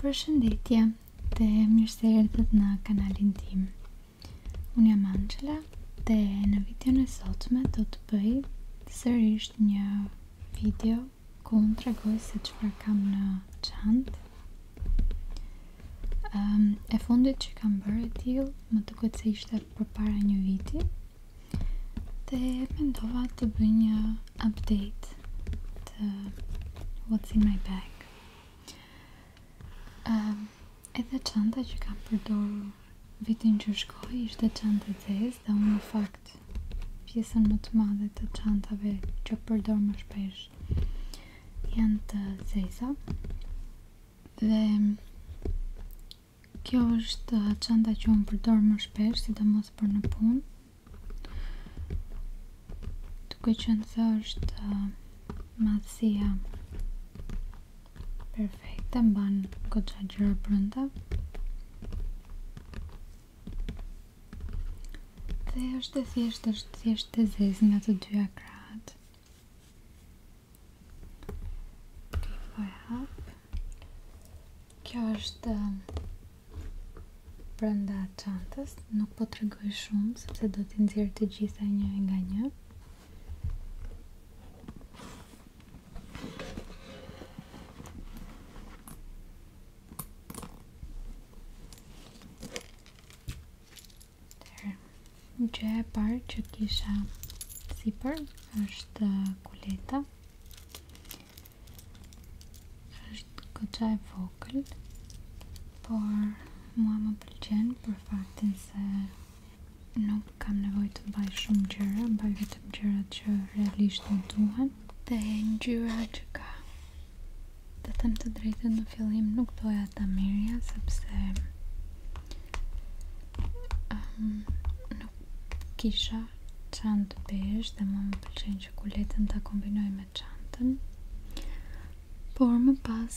Përshëndetje dhe mirë se erdhët në kanalin tim. Unë jam Angela dhe në video në sotme do të bëj sërish një video ku unë tregoj se çfarë kam në çantë. Ehm, e fundit që kam bërë e til, më të këtë se ishte për para një viti Dhe mendova të bëj një update to what's in my bag. Um, edhe çanta që kam përdorur vitin që shkoj ishte çanta e zezë dhe unë në fakt pjesën më të madhe të çantave që përdor më shpesh janë të zeza. Dhe kjo është çanta që unë përdor më shpesh, sidomos për në punë Duke që në thë është uh, Madhësia Perfekte Më banë këtë që gjëra përënda Dhe është e thjesht është thjesht të zez nga të dy akrat Ok, po e Kjo është ehm, brenda çantës, nuk po tregoj shumë sepse do t'i nxjerr të gjitha një nga një. Gje e parë që kisha sipër është kuleta është këtë e vogël por mua më pëlqen për faktin se nuk kam nevoj të baj shumë gjëra baj vetëm gjëra që realisht në duhen dhe në gjyra që ka të them të drejtën në fillim nuk doja ta mirja sepse ehm, kisha çantë besh dhe më më pëlqen që kuletën ta kombinoj me çantën. Por më pas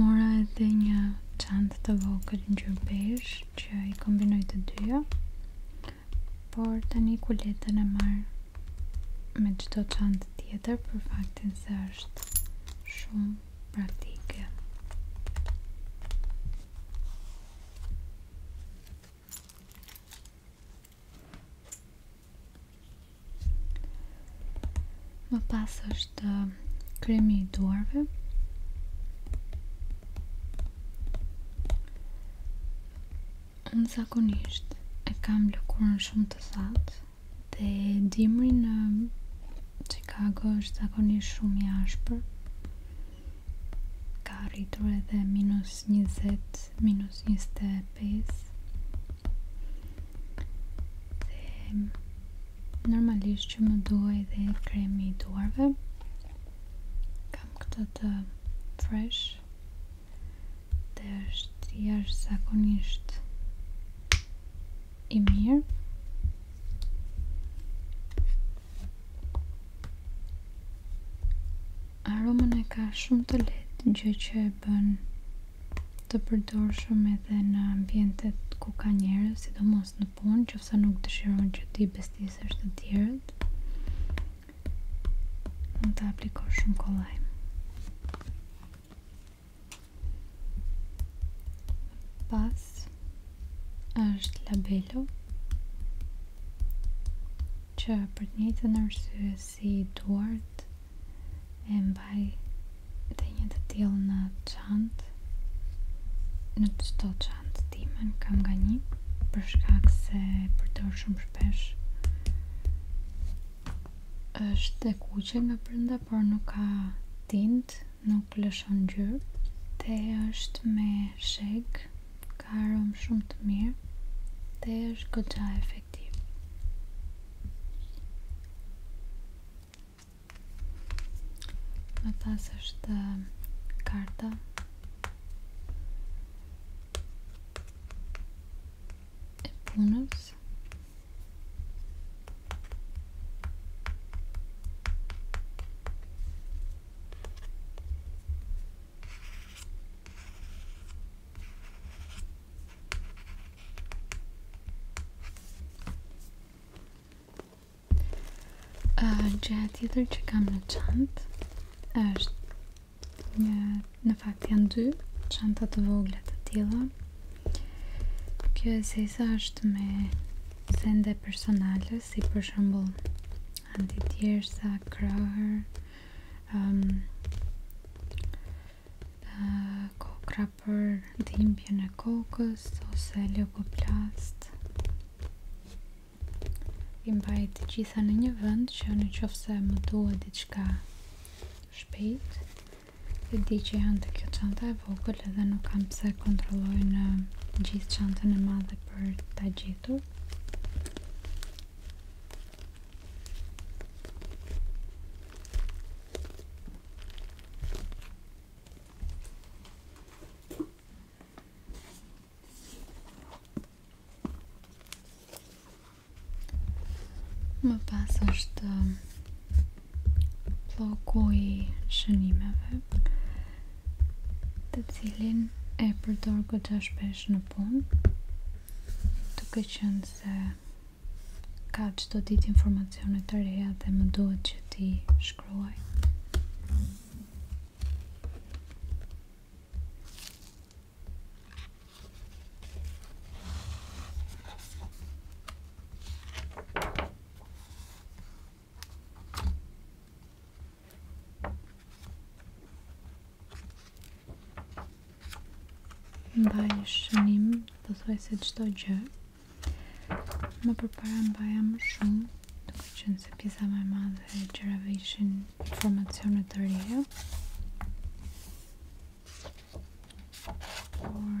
mora edhe një çantë të vogël ngjyrë besh që i kombinoj të dyja. Por tani kuletën e marr me çdo çantë tjetër për faktin se është shumë praktike. Më pas është uh, kremi i duarve. Në zakonisht e kam lëkurën shumë të thatë dhe dimri në Chicago është zakonisht shumë i ashpër ka rritur edhe minus 20 minus 25 normalisht që më duaj dhe kremi i duarve kam këtë të fresh dhe është i zakonisht i mirë Aromën e ka shumë të letë në gjë që e bën të përdorshëm shumë edhe në ambientet ku ka njerëz, Sidomos në punë që ofsa nuk të që ti bestisës të tjerët Në të aplikoh shumë kolaj Pasë është labelo që për të njëtë nërësue si duart e mbaj dhe një të tjelë në qantë në të qëto qantë timen kam nga një për shkak se për të shumë shpesh është dhe kuqe nga përnda por nuk ka tint nuk nuk lëshon gjyrë Te është me shek Ka arom shumë të mirë Te është gëgja efektiv Më pas është uh, karta E punës Gjeja tjetër që kam në çantë është një në fakt janë dy çanta të vogla të tilla. Kjo esesa është me sende personale si për shembull antitjersa, krahër, ëm um, ë kokra për dhimbjen e kokës ose leopoplast. I mbaj të gjitha në një vend që në qoftë se më duhet diçka shpejt. di që janë të këto çanta e vogël edhe nuk kam pëse kontrolloj në gjithë qantën e madhe për ta gjithu Më pas është llogoj shënimeve të cilin e përdor këtë shpesh në punë të qënë se ka që do ditë informacionet të reja dhe më duhet që ti shkruaj mbaj shënim të thoi se qëto gjë më përpara mbaja më shumë duke qënë se pjesa më e madhe e gjërave ishin informacionet të reja por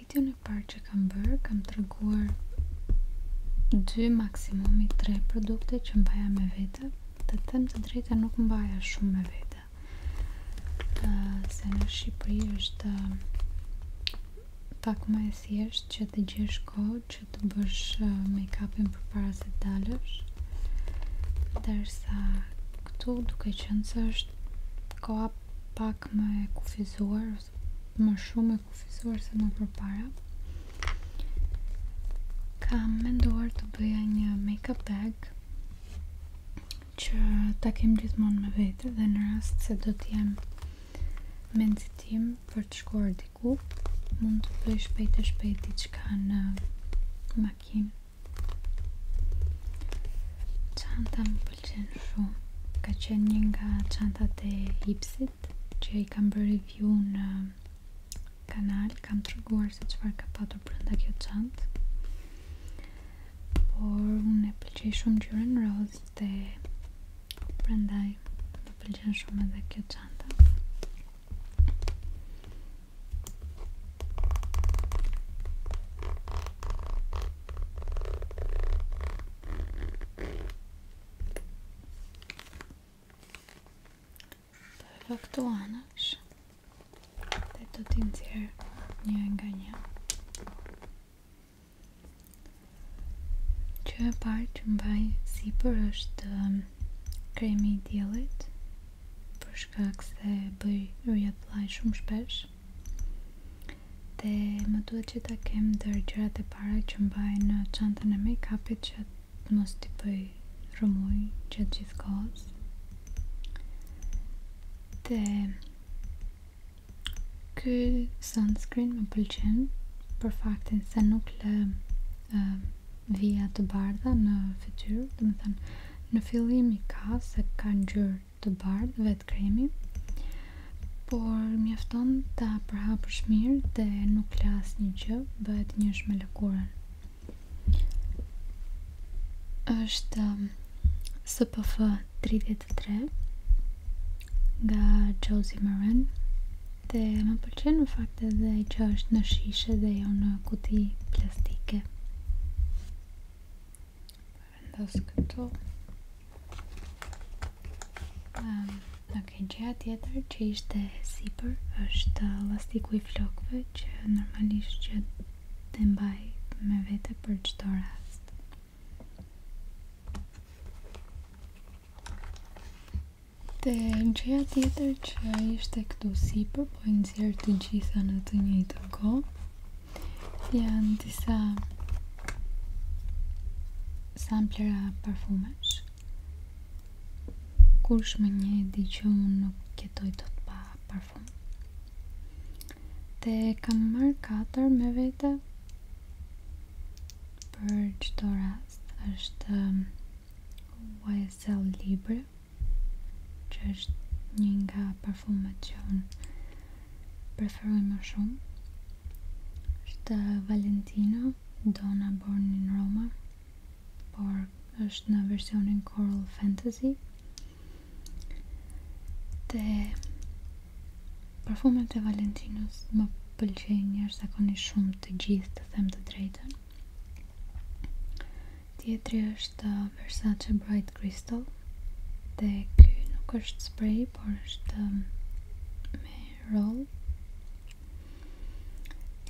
video në parë që kam bërë, kam të 2 maksimumi 3 produkte që mbaja me vete të them të drejta nuk mbaja shumë me vete se në Shqipëri është pak më e thjesht që të gjesh kohë që të bësh make-upin për para se të dalësh dërsa këtu duke qënë është koha pak më e kufizuar më shumë e kufizuar se më përpara kam menduar të bëja një make-up bag që ta kem gjithmonë me vete dhe në rast se do të jem me nxitim për të shkuar diku mund të bëj shpejt e shpejt diçka në makinë çanta më pëllqen shumë Ka qenë një nga qantat e hipsit Që i kam bërë review në um, kanal Kam të rëguar se qëfar ka patur për nda kjo qant Por unë e pëllqen shumë gjyren roz Dhe për ndaj pëlqen pëllqen shumë edhe kjo qant Dhe këtu anësh Dhe të ti nëzirë një nga një Që e parë që mbaj si për është um, kremi i djelit Për shkak se bëj rrja të shumë shpesh dhe më duhet që ta kem dërgjërat e para që mbaj në qantën e make-upit që të mos t'i pëj rëmuj që gjithë kohës dhe këj sunscreen më pëlqen për faktin se nuk lë uh, vija të bardha në fityr dhe më thënë në fillim i ka se ka ngjyrë të bardhë vetë kremi por mjafton ta përhapësh mirë dhe nuk las një gjë bëhet njësh me lëkurën është um, SPF 33 nga Josie Maran dhe më pëlqen në fakt edhe që është në shishe dhe jo në kuti plastike vendos këtu um, ok, gjëja tjetër që ishte sipër është lastiku i flokve që normalisht që të mbaj me vete për qëto rast Dhe në qëja tjetër që ishte këtu sipër, po i nëzirë të gjitha në të njëjtë kohë, janë disa samplera parfumesh kush me një di që unë nuk kjetoj të të pa parfum te kam marrë 4 me vete për qëto rast është YSL um, Libre që është një nga parfumet që unë preferoj më shumë është Valentino Dona Born in Roma por është në versionin Coral Fantasy dhe parfumet e Valentinos më pëlqejnë njërë zakoni shumë të gjithë të them të drejten Tjetri është uh, Versace Bright Crystal Dhe kjo nuk është spray Por është um, Me roll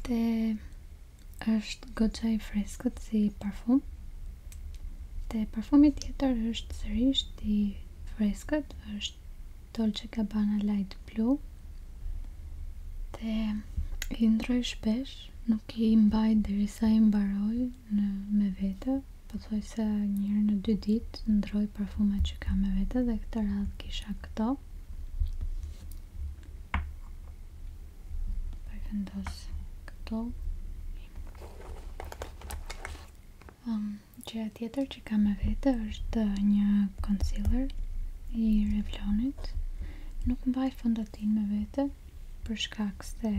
Dhe është goqa i freskët Si parfum Dhe parfumi tjetër është Sërish i freskët është Dolce Gabbana Light Blue Dhe Indroj shpesh nuk i mbaj dheri sa i mbaroj në, me vete, po të thoj se njërë në dy ditë ndroj parfumet që kam me vete dhe këtë radhë kisha këto. Përvendos këto. Um, gjëja tjetër që kam me vete është një concealer i Revlonit. Nuk mbaj fondatin me vete, për shkak se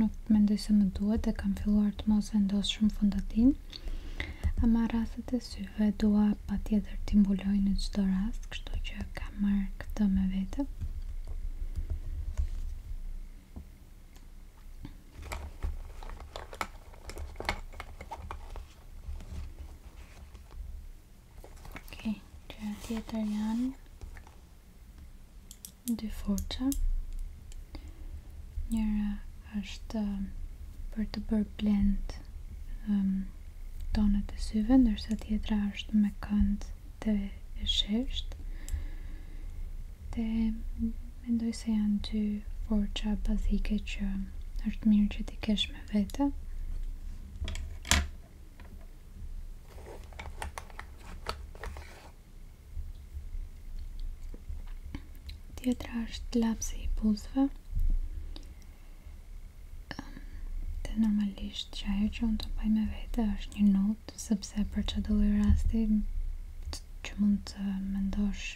nuk mendoj se më duhet e kam filluar të mos vendos shumë fondatin ama rastet e syve dua pa tjetër t'imbuloj në gjithdo rast kështu që kam marrë këtë me vete Tjetër janë dy foqa Njëra është um, për të bërë blend um, tonët e syve Ndërsa tjetëra është me kënd të e shesht Dhe mendoj se janë dy foqa bazike që është mirë që ti kesh me vete Tjetra është lapsi i buzëve ehm, Dhe normalisht që ajo që unë të paj me vete është një notë Sëpse për që dole rasti që mund të mendosh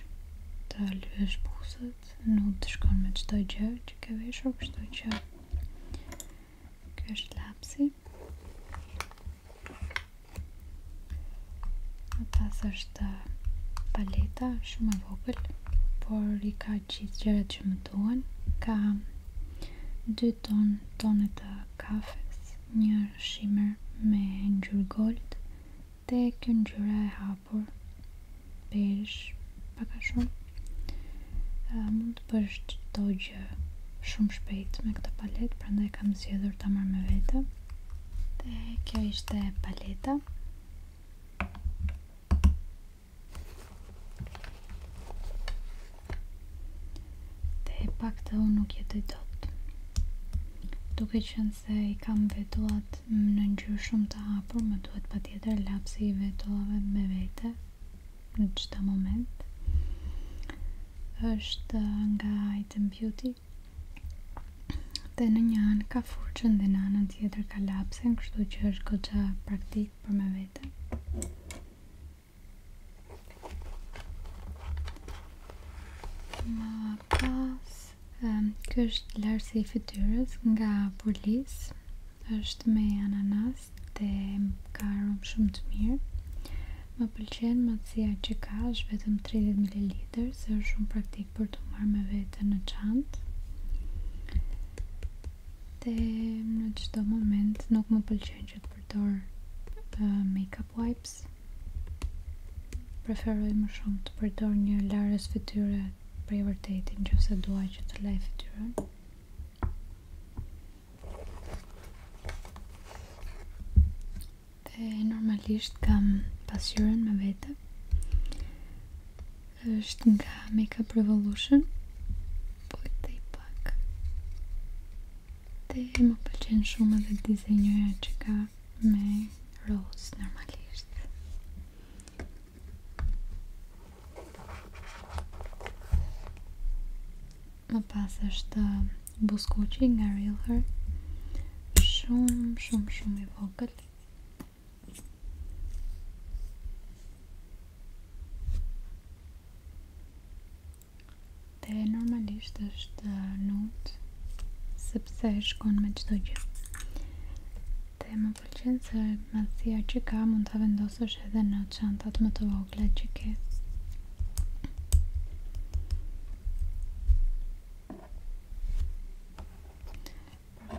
të lëvësh buzët nuk të shkon me qëto gjë që ke veshur kështu që kështë është lapsi pas është paleta shumë e vogël por i ka gjithë gjërat që më duhen ka dy ton tonet të kafes një shimmer me ngjyrë gold dhe kjo ngjyra e hap por pesh pak a shumë a, mund të përsh të gjë shumë shpejt me këta palet pra ndaj kam zjedhur të marrë me vete dhe kjo ishte paleta dhe pak të unë nuk jetoj dot duke qënë se i kam vetua thot në ngjyrë shumë të hapur, më duhet patjetër lapsi i vetove me vete në çdo moment. Është nga Item Beauty. Dhe në një anë ka furqën dhe në anën tjetër ka lapsen, kështu që është këtë praktik për me vete. Ma pas Lars. Um, Ky është Lars i fytyrës nga Polis. Është me ananas dhe ka arom shumë të mirë. Më pëlqen madhësia që ka, është vetëm 30 ml, është shumë praktik për të marrë me vete në çantë. Dhe në çdo moment nuk më pëlqen që të përdor uh, makeup wipes preferoj më shumë të përdor një larës fytyre për i vërtetin që se duaj që të lajfë të rën dhe normalisht kam pasyren me vete është nga Makeup Revolution po i të i pak dhe më pëlqen shumë edhe dizenjoja që ka me rose normalisht Më pas është uh, buskuqi nga Real Shumë, shumë, shumë i vogël Dhe normalisht është uh, nutë sepse shkon me çdo gjë. Dhe më pëlqen se madhësia që ka mund ta vendosësh edhe në çantat më të vogla që ke.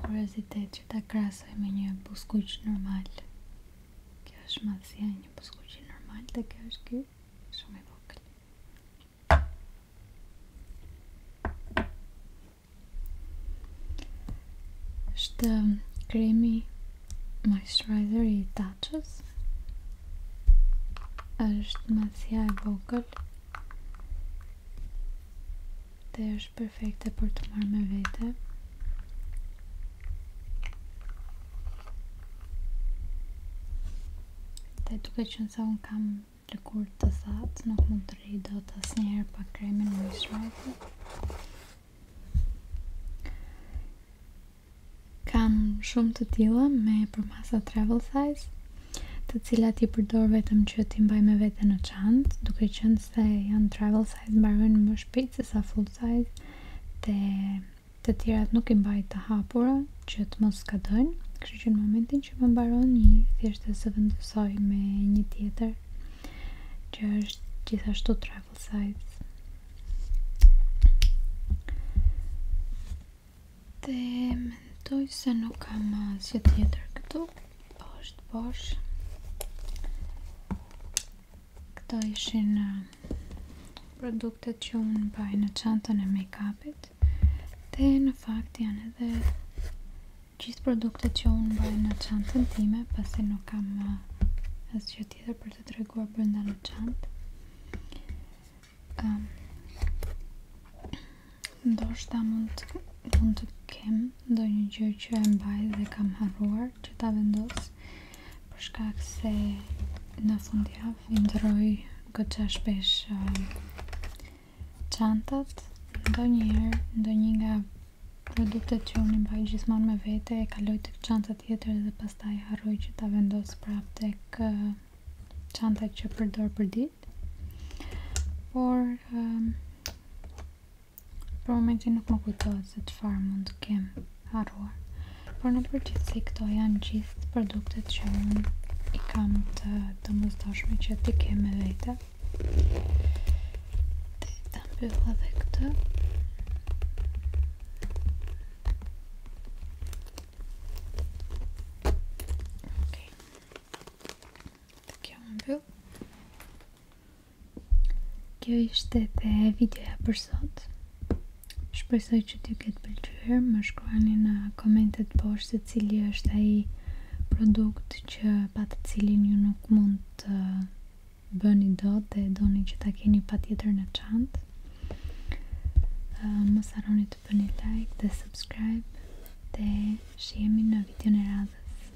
kurazitet që ta krasoj me një buskuq normal. Kjo është madhësia e një buskuqi normal, dhe kjo është ky shumë i vogël është kremi moisturizer i tachës është masja e vogël dhe është perfekte për të marrë me vete dhe duke që nësa unë kam lëkur të thatë, nuk mund të rri do të asë njerë pa kremin në mishrajtë. Kam shumë të tila me përmasa travel size, të cilat i përdor vetëm që ti mbaj me vete në qantë, duke qënë se janë travel size mbarën më shpitë se sa full size, dhe të tjerat nuk i mbaj të hapura, që të mos skadojnë, kështu që në momentin që më mbaron një thjesht dhe së vendosoj me një tjetër që është gjithashtu travel size. Dhe mendoj se nuk kam asgjë tjetër këtu, bosh të bosh. Këto ishin uh, produktet që unë baj në çantën e make-up shtëpit dhe në fakt janë edhe gjithë produktet që unë bëjë në qantën time pasi nuk kam uh, asë që tjetër për të treguar brënda në qantë ehm, Ndo shta mund të, mund të kem ndo një gjë që e mbaj dhe kam harruar që ta vendos për shkak se në fundjavë i ndëroj këtë që është qantët um, ndo njëherë ndo një nga produktet që unë i mbaj gjithmon me vete e kaloj të qantët jetër dhe pastaj harroj që ta vendos prap të kë uh, qantët që përdor për dit por um, për momentin nuk më kujtoj se të farë mund të kem harruar por në përgjithsi këto janë që gjithë të produktet që unë i kam të të mëzdojshme që ti keme dhe vete të të i të mbyllë dhe këtë Kjo ishte dhe videoja për sot Shpresoj që t'ju ketë pëlqyer, më shkruani në komentet poshtë se cili është ai produkt që pa të cilin ju nuk mund të bëni dot dhe doni që ta keni patjetër në çantë. Mos harroni të bëni like dhe subscribe dhe shihemi në videon e radhës.